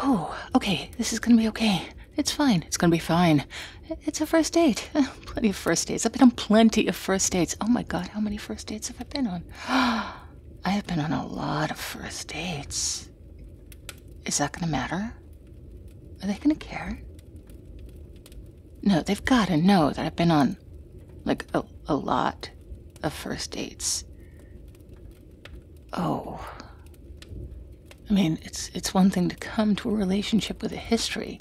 Oh, okay, this is gonna be okay. It's fine. It's gonna be fine. It's a first date. plenty of first dates. I've been on plenty of first dates. Oh my god, how many first dates have I been on? I have been on a lot of first dates. Is that gonna matter? Are they gonna care? No, they've gotta know that I've been on, like, a, a lot of first dates. Oh. I mean, it's it's one thing to come to a relationship with a history,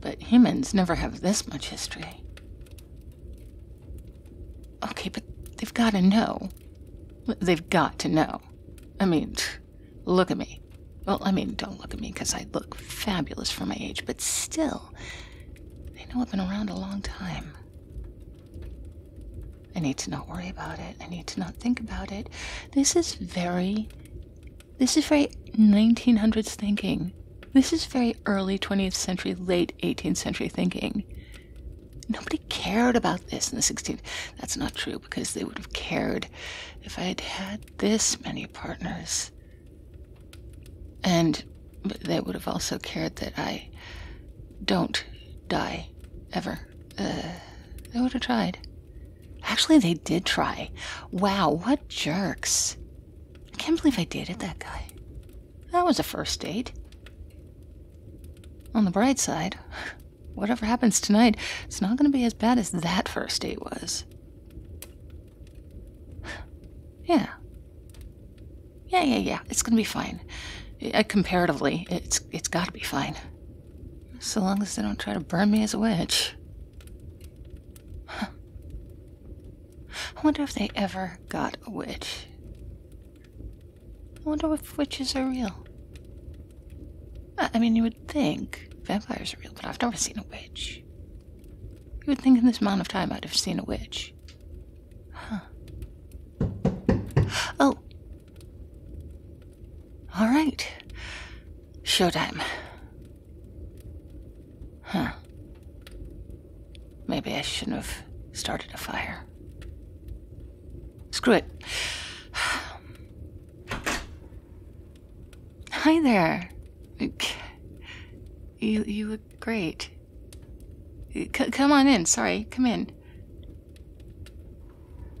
but humans never have this much history. Okay, but they've got to know. They've got to know. I mean, look at me. Well, I mean, don't look at me because I look fabulous for my age, but still, they know I've been around a long time. I need to not worry about it. I need to not think about it. This is very. This is very 1900s thinking. This is very early 20th century, late 18th century thinking. Nobody cared about this in the 16th. That's not true because they would have cared if I had had this many partners. And but they would have also cared that I don't die ever. Uh, they would have tried. Actually, they did try. Wow, what jerks. I can't believe I dated that guy. That was a first date. On the bright side, whatever happens tonight, it's not going to be as bad as that first date was. Yeah, yeah, yeah, yeah. It's gonna be fine. Uh, comparatively, it's it's gotta be fine. So long as they don't try to burn me as a witch. Huh. I wonder if they ever got a witch. I wonder if witches are real. I mean, you would think vampires are real, but I've never seen a witch. You would think in this amount of time I'd have seen a witch. Huh. Oh. All right. Showtime. Huh. Maybe I shouldn't have started a fire. Screw it. Hi there. You, you look great. come on in. Sorry, come in.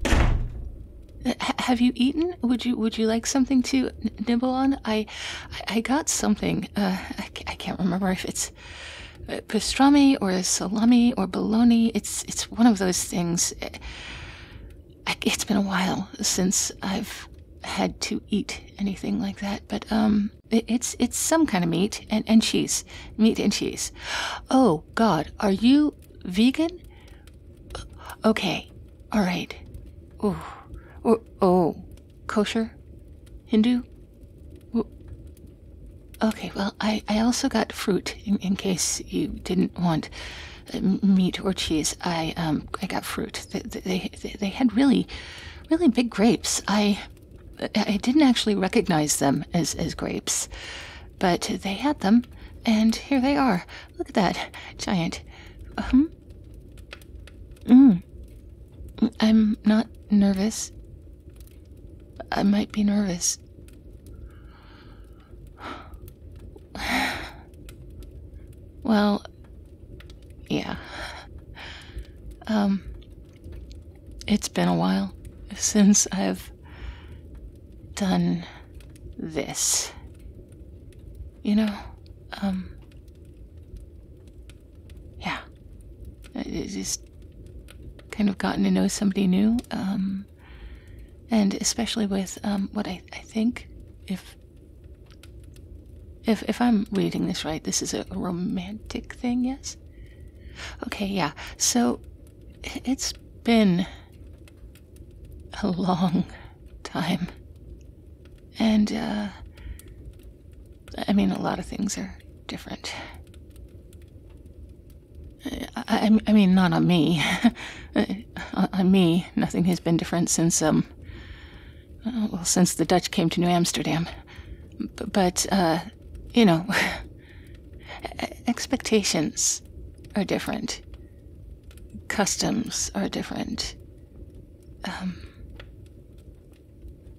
Uh, have you eaten? Would you Would you like something to nibble on? I I got something. Uh, I, can't remember if it's uh, pastrami or salami or baloney. It's It's one of those things. Eh, it's been a while since I've had to eat anything like that, but um, it's it's some kind of meat and, and cheese. Meat and cheese. Oh God, are you vegan? Okay, all right. Oh, oh, oh. kosher, Hindu. Okay, well, I, I also got fruit in, case you didn't want uh, meat or cheese. I um I got fruit. They they, they, they had really, really big grapes. I I didn't actually recognize them as, as grapes, but they had them, and here they are. Look at that giant. Um, mm. I'm not nervous. I might be nervous. Well, yeah. Um, it's been a while since I've done this. You know, um, yeah. It's just kind of gotten to know somebody new, um, and especially with, um, what I, think, if, if, if I'm reading this right, this is a romantic thing, yes? Okay, yeah. So it's been a long time. And, uh, I mean, a lot of things are different. I, I mean, not on me. on me, nothing has been different since, um, well, since the Dutch came to New Amsterdam. But, uh, you know, expectations are different. Customs are different. Um,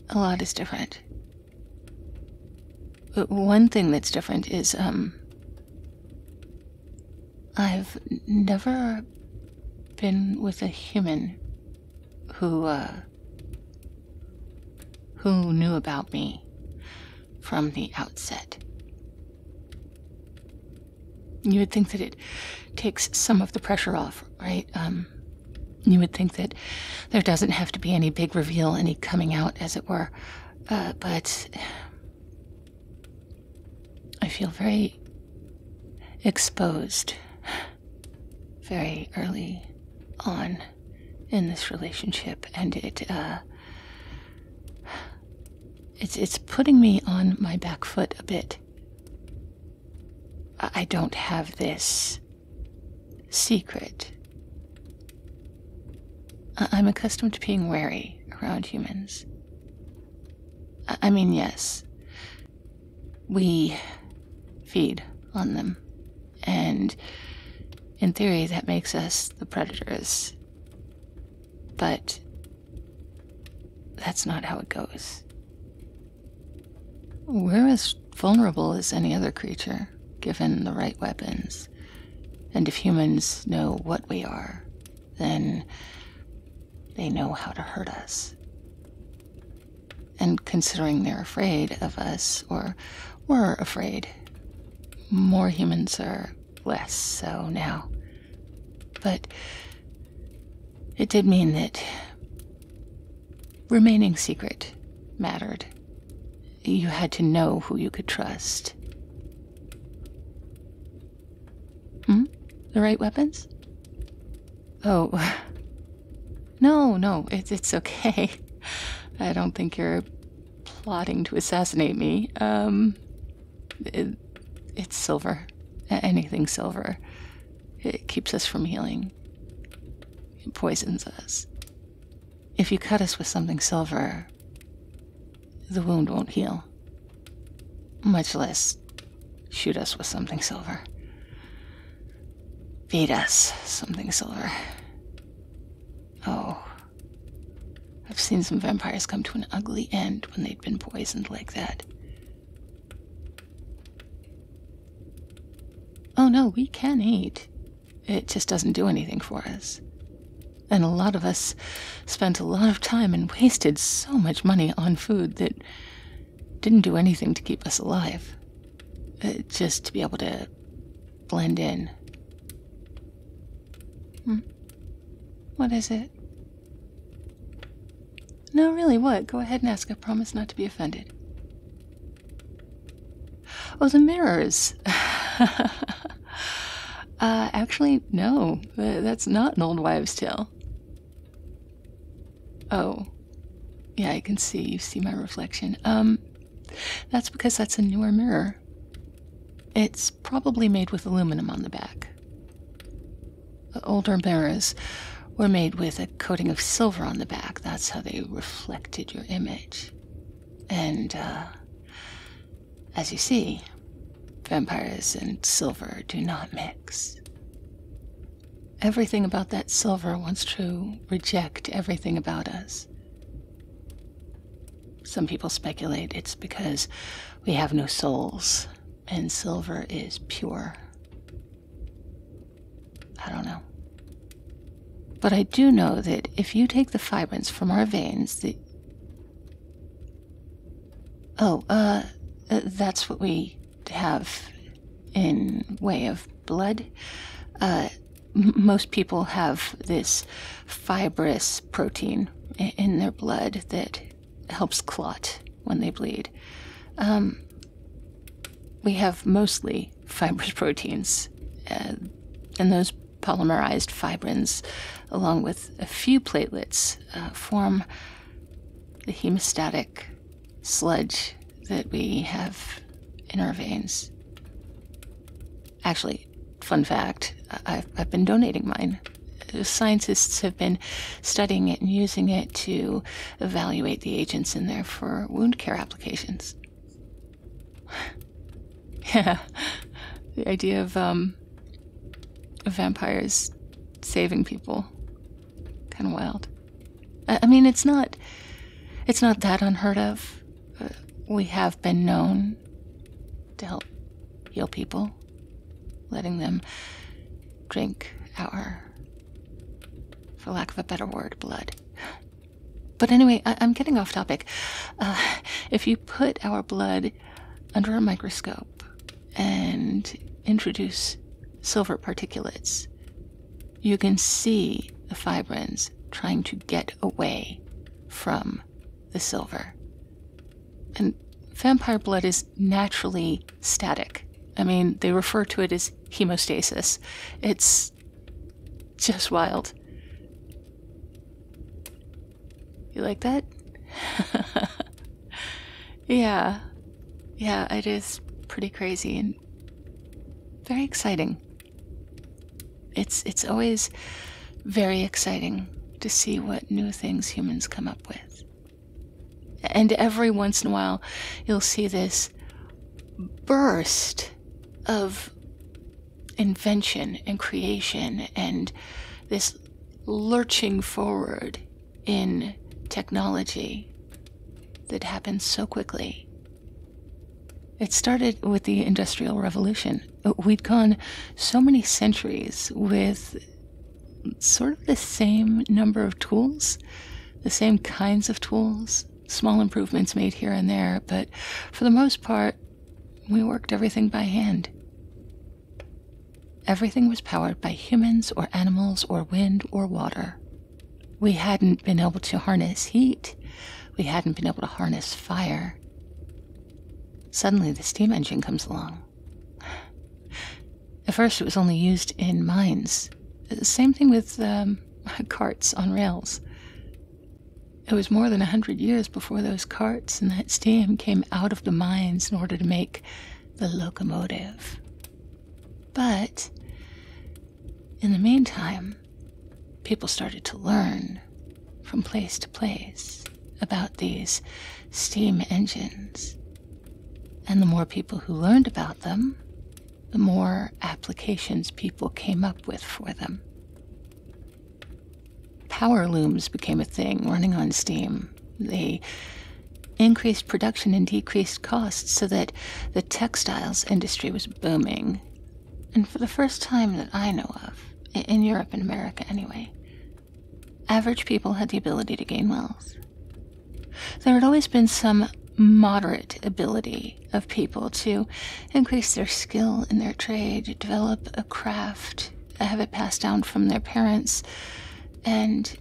a lot is different. But one thing that's different is, um, I've never been with a human who uh, who knew about me from the outset. You would think that it takes some of the pressure off, right? Um, you would think that there doesn't have to be any big reveal, any coming out, as it were. Uh, but I feel very exposed very early on in this relationship, and it uh, it's putting me on my back foot a bit. I don't have this secret. I'm accustomed to being wary around humans. I mean, yes, we feed on them. And in theory, that makes us the predators. But that's not how it goes. We're as vulnerable as any other creature, given the right weapons. And if humans know what we are, then they know how to hurt us and considering they're afraid of us or we're afraid, more humans are less so now. But it did mean that remaining secret mattered. You had to know who you could trust. Hmm? The right weapons? Oh, No, no, it's it's okay. I don't think you're plotting to assassinate me. Um, it's silver. Anything silver. It keeps us from healing. It poisons us. If you cut us with something silver, the wound won't heal. Much less shoot us with something silver. Vedas, something silver. Oh. I've seen some vampires come to an ugly end when they'd been poisoned like that. Oh no, we can eat. It just doesn't do anything for us. And a lot of us spent a lot of time and wasted so much money on food that didn't do anything to keep us alive. Uh, just to be able to blend in. Hmm. What is it? No, really, what? Go ahead and ask. I promise not to be offended. Oh, the mirrors. Uh, actually, no. That's not an old wives' tale. Oh. Yeah, I can see. You see my reflection. Um, that's because that's a newer mirror. It's probably made with aluminum on the back. older mirrors were made with a coating of silver on the back. That's how they reflected your image. And, uh, as you see, vampires and silver do not mix. Everything about that silver wants to reject everything about us. Some people speculate it's because we have no souls and silver is pure. I don't know. But I do know that if you take the fibrins from our veins, the. Oh, uh, uh that's what we have in way of blood. Uh, most people have this fibrous protein in their blood that helps clot when they bleed. Um, we have mostly fibrous proteins, uh, and those polymerized fibrins, along with a few platelets, uh, form the hemostatic sludge that we have in our veins. Actually, fun fact I've, been donating mine. Scientists have been studying it and using it to evaluate the agents in there for wound care applications. yeah, the idea of um, vampires saving people. Kind of wild. I mean, it's not. It's not that unheard of. Uh, we have been known to help heal people, letting them drink our, for lack of a better word, blood. But anyway, I- am getting off topic. Uh, if you put our blood under a microscope and introduce silver particulates, you can see the fibrins trying to get away from the silver. And vampire blood is naturally static. I mean, they refer to it as hemostasis. It's just wild. You like that? yeah. Yeah, it is pretty crazy. And very exciting. It's it's always very exciting to see what new things humans come up with. And every once in a while, you'll see this burst of invention and creation and this lurching forward in technology that happens so quickly. It started with the Industrial Revolution. We'd gone so many centuries with sort of the same number of tools, the same kinds of tools, small improvements made here and there, but for the most part, we worked everything by hand. Everything was powered by humans or animals or wind or water we hadn't been able to harness heat. We hadn't been able to harness fire. Suddenly, the steam engine comes along. At first, it was only used in mines. Same thing with um, carts on rails. It was more than a hundred years before those carts and that steam came out of the mines in order to make the locomotive. But in the meantime, people started to learn from place to place about these steam engines. And the more people who learned about them, the more applications people came up with for them. Power looms became a thing running on steam. They increased production and decreased costs so that the textiles industry was booming. And for the first time that I know of, in Europe and America anyway, average people had the ability to gain wealth. There had always been some moderate ability of people to increase their skill in their trade, develop a craft, have it passed down from their parents, and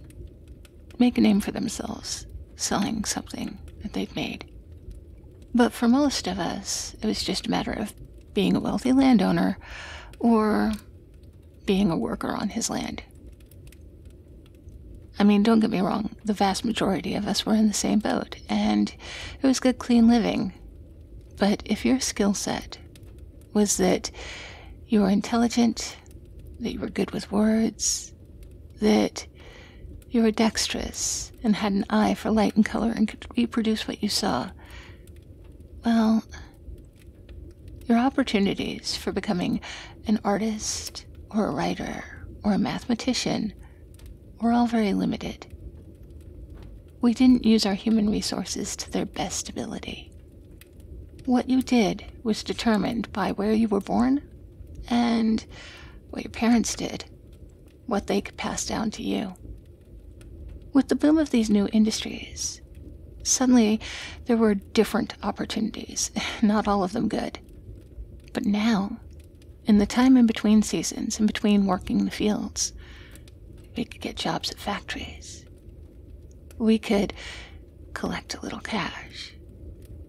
make a name for themselves selling something that they've made. But for most of us, it was just a matter of being a wealthy landowner or being a worker on his land. I mean, don't get me wrong, the vast majority of us were in the same boat, and it was good, clean living. But if your skill set was that you were intelligent that you were good with words, that you were dexterous and had an eye for light and color and could reproduce what you saw. Well, your opportunities for becoming an artist or a writer or a mathematician were all very limited. We didn't use our human resources to their best ability. What you did was determined by where you were born and what your parents did, what they could pass down to you. With the boom of these new industries, suddenly there were different opportunities, not all of them good. But now, in the time in between seasons, in between working the fields, we could get jobs at factories. We could collect a little cash.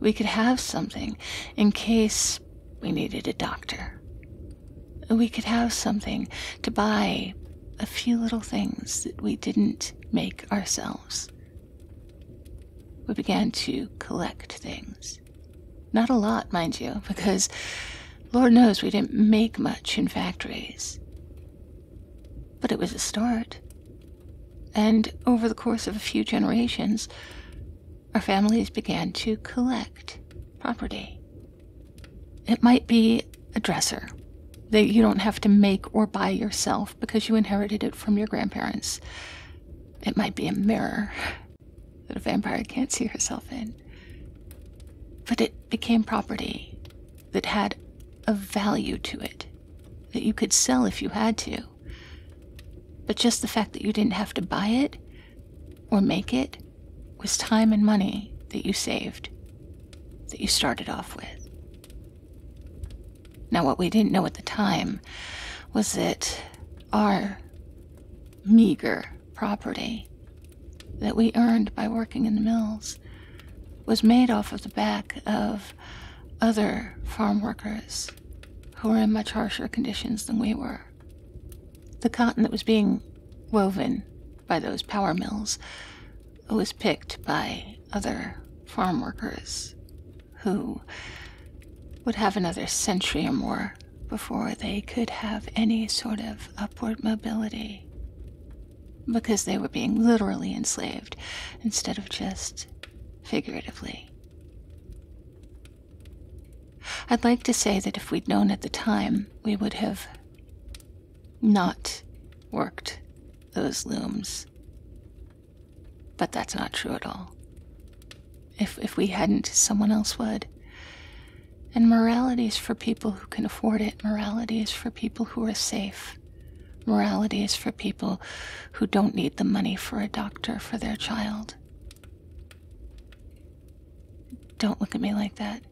We could have something in case we needed a doctor. We could have something to buy a few little things that we didn't make ourselves. We began to collect things. Not a lot, mind you, because Lord knows we didn't make much in factories. But it was a start, and over the course of a few generations, our families began to collect property. It might be a dresser that you don't have to make or buy yourself because you inherited it from your grandparents. It might be a mirror that a vampire can't see herself in. But it became property that had a value to it that you could sell if you had to. But just the fact that you didn't have to buy it or make it was time and money that you saved, that you started off with. Now, what we didn't know at the time was that our meager property that we earned by working in the mills was made off of the back of other farm workers who were in much harsher conditions than we were. The cotton that was being woven by those power mills was picked by other farm workers who would have another century or more before they could have any sort of upward mobility because they were being literally enslaved instead of just figuratively. I'd like to say that if we'd known at the time, we would have not worked those looms. But that's not true at all. If, if we hadn't, someone else would. And morality is for people who can afford it, morality is for people who are safe life. Morality is for people who don't need the money for a doctor for their child. Don't look at me like that.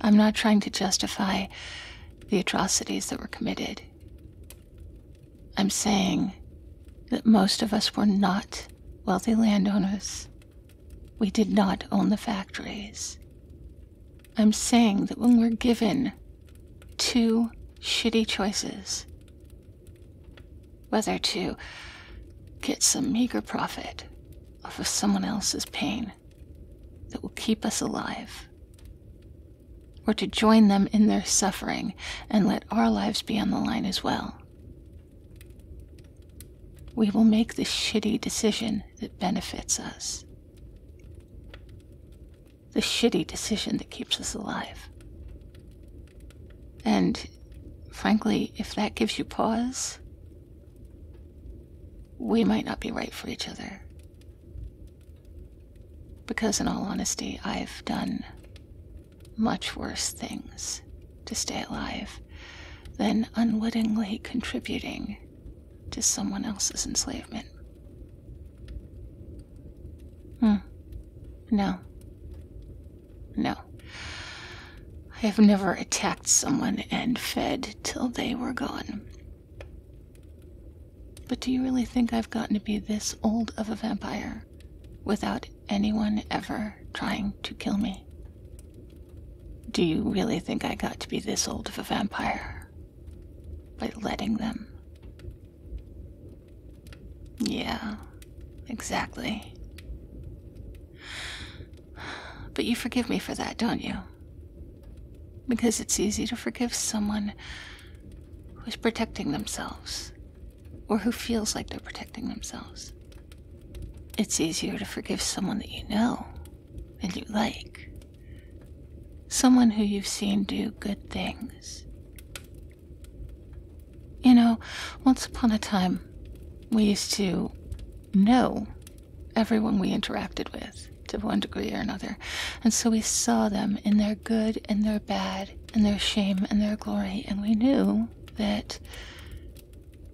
I'm not trying to justify the atrocities that were committed. I'm saying that most of us were not wealthy landowners. We did not own the factories. I'm saying that when we're given two shitty choices. Whether to get some meager profit off of someone else's pain that will keep us alive, or to join them in their suffering and let our lives be on the line as well. We will make the shitty decision that benefits us the shitty decision that keeps us alive. And frankly, if that gives you pause, we might not be right for each other. Because, in all honesty, I've done much worse things to stay alive than unwittingly contributing to someone else's enslavement. Hmm. No. No. I have never attacked someone and fed till they were gone. But do you really think I've gotten to be this old of a vampire without anyone ever trying to kill me? Do you really think I got to be this old of a vampire by letting them yeah, exactly. But you forgive me for that, don't you? Because it's easy to forgive someone who's protecting themselves, or who feels like they're protecting themselves. It's easier to forgive someone that you know and you like Someone who you've seen do good things. You know, once upon a time, we used to know everyone we interacted with to one degree or another, and so we saw them in their good and their bad, and their shame and their glory, and we knew that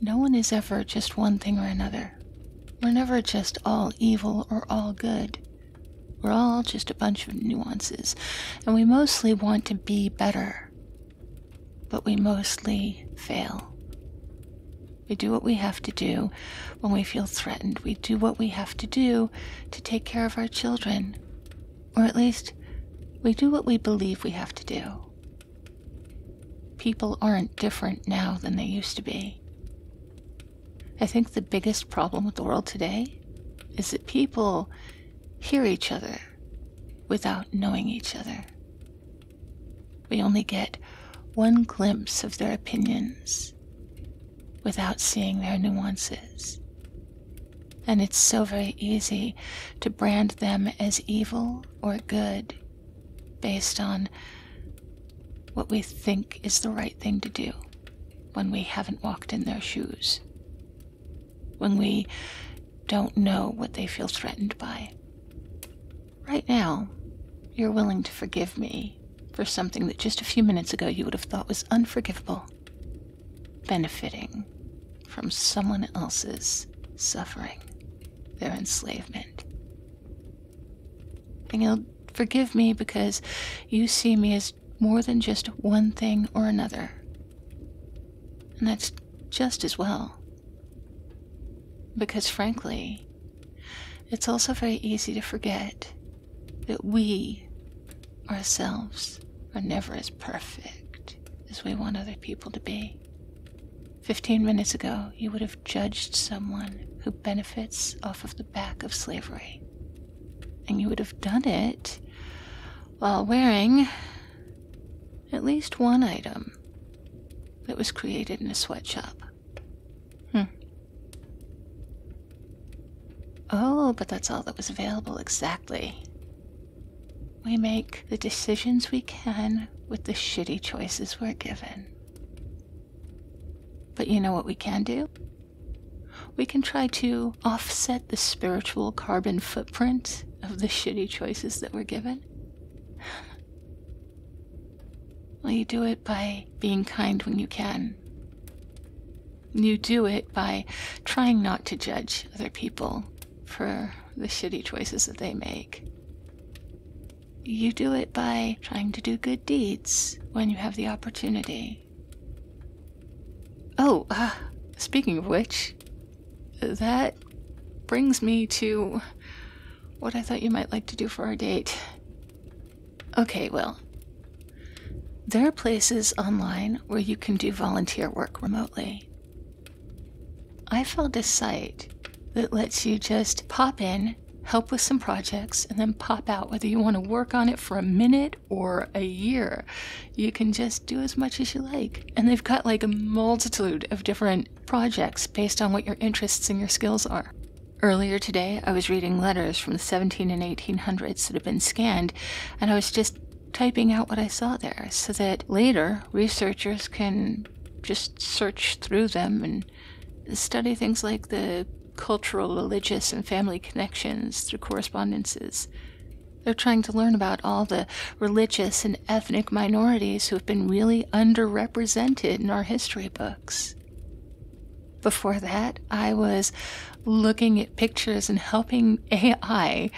no one is ever just one thing or another. We're never just all evil or all good. We're all just a bunch of nuances, and we mostly want to be better, but we mostly fail. We do what we have to do when we feel threatened. We do what we have to do to take care of our children, or at least we do what we believe we have to do. People aren't different now than they used to be. I think the biggest problem with the world today is that people hear each other without knowing each other. We only get one glimpse of their opinions without seeing their nuances. And it's so very easy to brand them as evil or good based on what we think is the right thing to do when we haven't walked in their shoes, when we don't know what they feel threatened by. Right now, you're willing to forgive me for something that just a few minutes ago you would have thought was unforgivable, benefiting from someone else's suffering, their enslavement. And you'll Forgive me because you see me as more than just one thing or another. And that's just as well. Because frankly, it's also very easy to forget that we ourselves are never as perfect as we want other people to be. Fifteen minutes ago, you would have judged someone who benefits off of the back of slavery and you would have done it while wearing at least one item that was created in a sweatshop. Hmm. Oh, but that's all that was available, exactly. We make the decisions we can with the shitty choices we're given. But you know what we can do? We can try to offset the spiritual carbon footprint of the shitty choices that we're given. Well, you do it by being kind when you can. You do it by trying not to judge other people for the shitty choices that they make. You do it by trying to do good deeds when you have the opportunity. Oh, uh, speaking of which, that brings me to what I thought you might like to do for our date. Okay, well, there are places online where you can do volunteer work remotely. I found a site that lets you just pop in help with some projects, and then pop out. Whether you want to work on it for a minute or a year, you can just do as much as you like. And they've got like a multitude of different projects based on what your interests and your skills are. Earlier today, I was reading letters from the 17 and 1800s that have been scanned, and I was just typing out what I saw there so that later researchers can just search through them and study things like the cultural, religious, and family connections through correspondences. They're trying to learn about all the religious and ethnic minorities who have been really underrepresented in our history books. Before that, I was looking at pictures and helping AI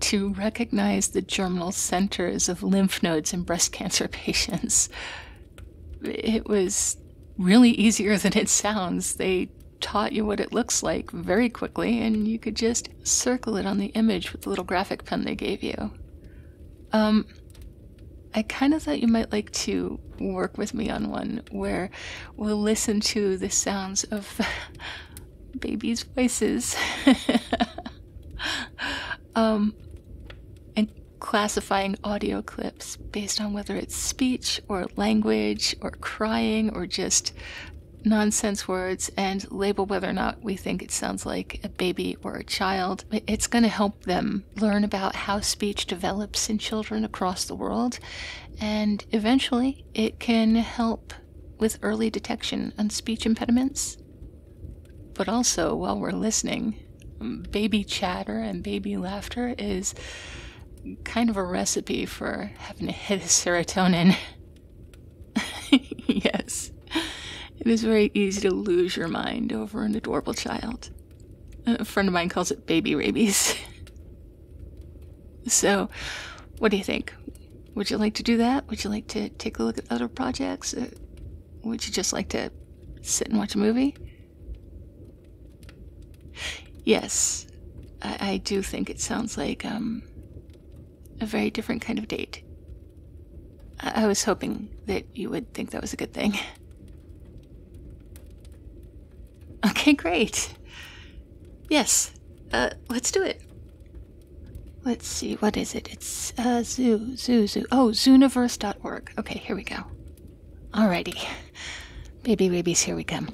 to recognize the germinal centers of lymph nodes in breast cancer patients. It was really easier than it sounds. They taught you what it looks like very quickly, and you could just circle it on the image with the little graphic pen they gave you. Um, I kind of thought you might like to work with me on one where we'll listen to the sounds of babies' voices. um, and classifying audio clips based on whether it's speech or language or crying or just nonsense words and label whether or not we think it sounds like a baby or a child. It's going to help them learn about how speech develops in children across the world, and eventually it can help with early detection on speech impediments. But also, while we're listening, baby chatter and baby laughter is kind of a recipe for having to hit of serotonin. yes, it is very easy to lose your mind over an adorable child. A friend of mine calls it baby rabies. so, what do you think? Would you like to do that? Would you like to take a look at other projects? Uh, would you just like to sit and watch a movie? Yes, I, do think it sounds like um, a very different kind of date. I, was hoping that you would think that was a good thing. Okay, great. Yes, uh, let's do it. Let's see, what is it? It's uh, zoo, zoo, zoo. Oh, zooniverse.org. Okay, here we go. All righty. Baby babies, here we come.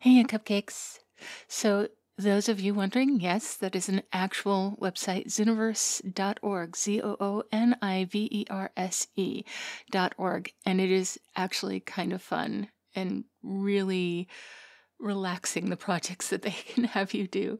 hey, cupcakes. So, those of you wondering, yes, that is an actual website, zooniverse.org, dot org, And it is actually kind of fun and really relaxing the projects that they can have you do.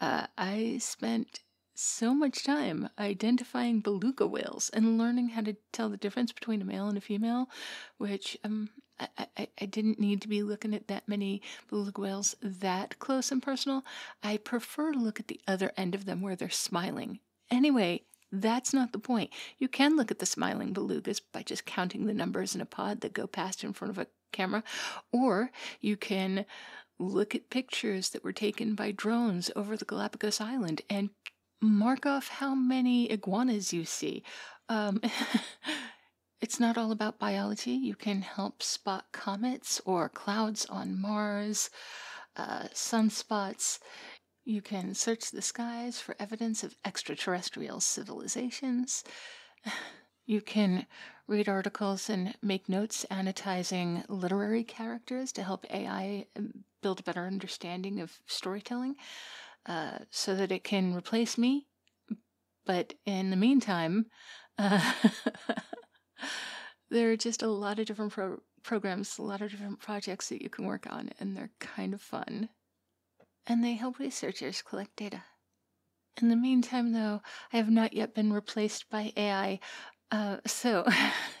Uh, I spent so much time identifying beluga whales and learning how to tell the difference between a male and a female, which um, I, didn't need to be looking at that many beluga whales that close and personal. I prefer to look at the other end of them where they're smiling. Anyway, that's not the point. You can look at the smiling belugas by just counting the numbers in a pod that go past in front of a camera, or you can look at pictures that were taken by drones over the Galapagos Island and mark off how many iguanas you see. Um, it's not all about biology. You can help spot comets or clouds on Mars, uh, sunspots. You can search the skies for evidence of extraterrestrial civilizations. You can read articles and make notes annotating literary characters to help AI um, build a better understanding of storytelling uh, so that it can replace me. But in the meantime, there are just a lot of different programs, a lot of different projects that you can work on, and they're kind of fun. And they help researchers collect data. In the meantime, though, I have not yet been replaced by AI. Uh, so,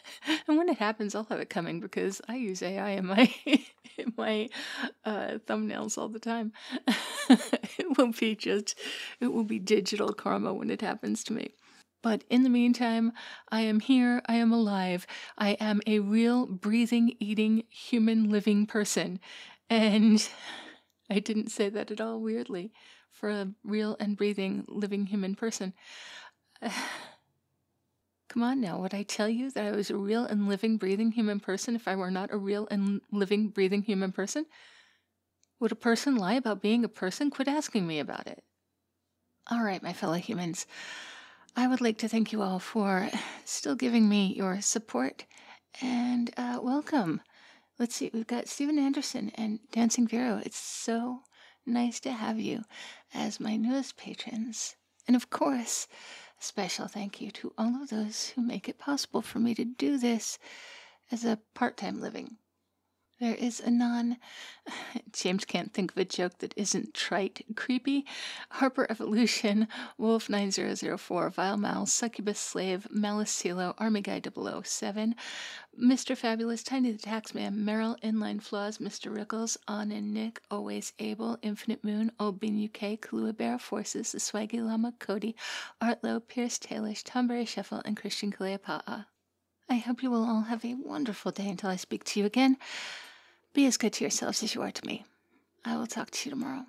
when it happens, I'll have it coming because I use AI in my in my uh, thumbnails all the time. it will not be just, it will be digital karma when it happens to me. But in the meantime, I am here, I am alive, I am a real, breathing, eating, human living person. And I didn't say that at all weirdly for a real and breathing living human person. Come on now, would I tell you that I was a real and living, breathing human person if I were not a real and living, breathing human person? Would a person lie about being a person? Quit asking me about it. All right, my fellow humans, I would like to thank you all for still giving me your support and uh, welcome. Let's see, we've got Stephen Anderson and Dancing Vero. It's so nice to have you as my newest patrons. And of course, a special thank you to all of those who make it possible for me to do this as a part time living. There is a non. James can't think of a joke that isn't trite, creepy. Harper Evolution, Wolf9004, Vile Mouse, Succubus Slave, Dave, Malicillo, 007, Mr. Fabulous, Tiny the Taxman, Merrill, Inline Flaws, Mr. Rickles, On and Nick, Always Able, Infinite Moon, Old Bean UK, Forces, The Swaggy Lama, Cody, Artlow, Pierce Taylor, Tomberry Sheffel, and Christian Kaleapa'a. I hope you will all have a wonderful day until I speak to you again. Be as good to yourselves as you are to me. I will talk to you tomorrow.